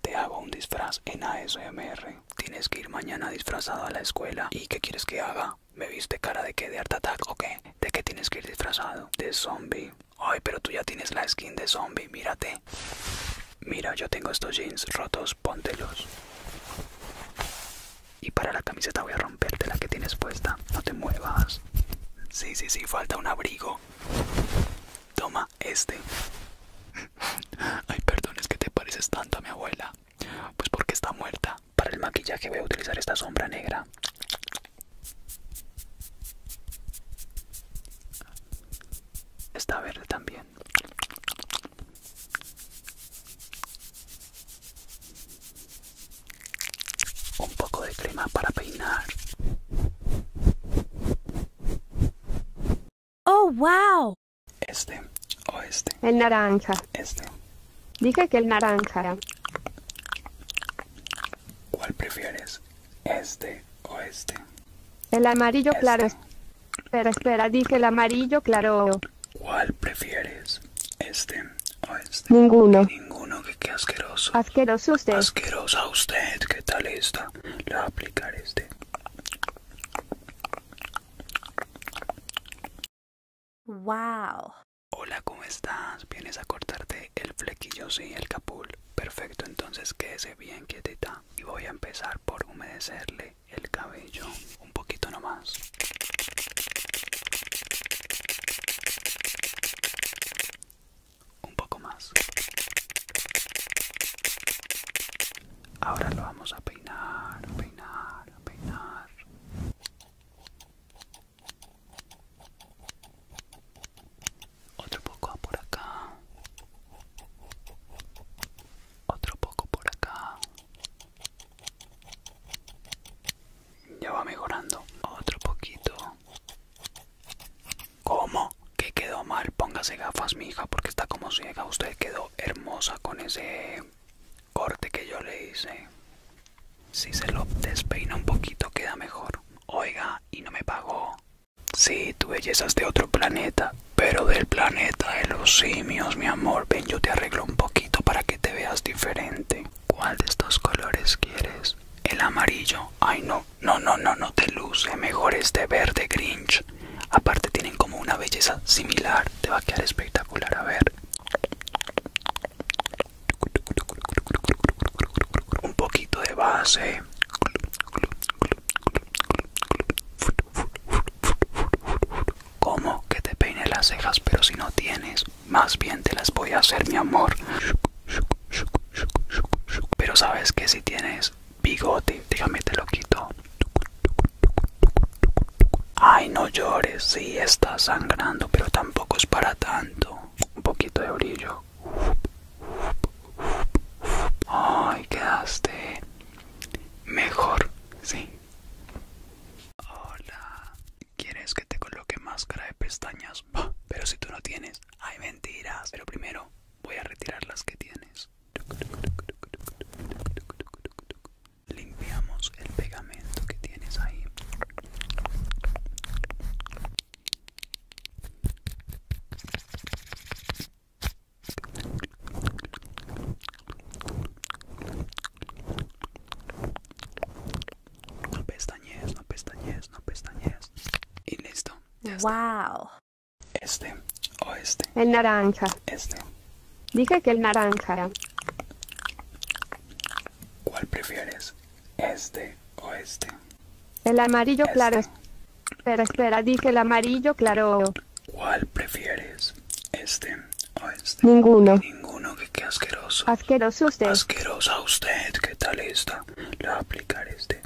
Te hago un disfraz en ASMR. Tienes que ir mañana disfrazado a la escuela. ¿Y qué quieres que haga? ¿Me viste cara de qué? ¿De Art Attack o qué? ¿De qué tienes que ir disfrazado? De zombie. Ay, pero tú ya tienes la skin de zombie, mírate. Mira, yo tengo estos jeans rotos, póntelos. Y para la camiseta voy a romperte la que tienes puesta. No te muevas. Sí, sí, sí, falta un abrigo. Toma, este. Ay, perdón, es que te pareces tanto a mi abuela. Pues porque está muerta. Para el maquillaje voy a utilizar esta sombra negra. Está verde también un poco de crema para peinar. Oh, wow. Este o este. El naranja. Este. Dije que el naranja. ¿Cuál prefieres? ¿Este o este? El amarillo claro. Este. Espera, espera, dije el amarillo claro. ¿Cuál prefieres? Este o este. Ninguno. Ninguno, que, asqueroso. Asqueroso usted. Asquerosa usted, ¿qué tal esta? Le voy a aplicar este. Wow. Hola, ¿cómo estás? Vienes a cortarte el flequillo, sí, el capul. Perfecto, entonces quédese bien quietita. Y voy a empezar por humedecerle el cabello un poquito nomás. Un poco más. Ahora lo vamos a peinar, peinar, peinar. Otro poco por acá. Otro poco por acá. Ya va mejorando. Otro poquito. ¿Cómo? Que quedó mal. Póngase gafas, mi hija, porque está como ciega. Usted quedó hermosa con ese corte que yo le hice. Si se lo despeina un poquito, queda mejor. Oiga, y no me pagó. Sí, tu belleza es de otro planeta pero del planeta de los simios, mi amor. Ven, yo te arreglo un poquito para que te veas diferente. ¿Cuál de estos colores quieres? El amarillo. Ay, no, no, no, no, no te luce. Mejor de este verde Grinch. Aparte tienen como una belleza similar. Te va a quedar espectacular. A ver. Un poquito de base. ¿Cómo que te peine las cejas pero si no tienes? Más bien te las voy a hacer mi amor. Pero sabes que si tienes bigote, Dígame, te lo quito. Ay, no llores, sí está sangrando, pero tampoco es para tanto. Un poquito de brillo. Ay, quedaste mejor, sí. Hola, ¿quieres que te coloque máscara de pestañas? pero si tú no tienes, hay mentiras. Pero primero voy a retirar las que tienes. Limpiamos el pegamento que tienes ahí. No pestañees, no pestañees, no pestañees. Y listo. Wow. Este o este. El naranja. Este. Dije que el naranja. ¿Cuál prefieres? Este, o este? El amarillo este. claro. Espera, espera, dije el amarillo claro. ¿Cuál prefieres? Este o este. Ninguno. Ninguno, que asqueroso. Asqueroso usted. Asquerosa usted, ¿qué tal esta? Le voy aplicar este.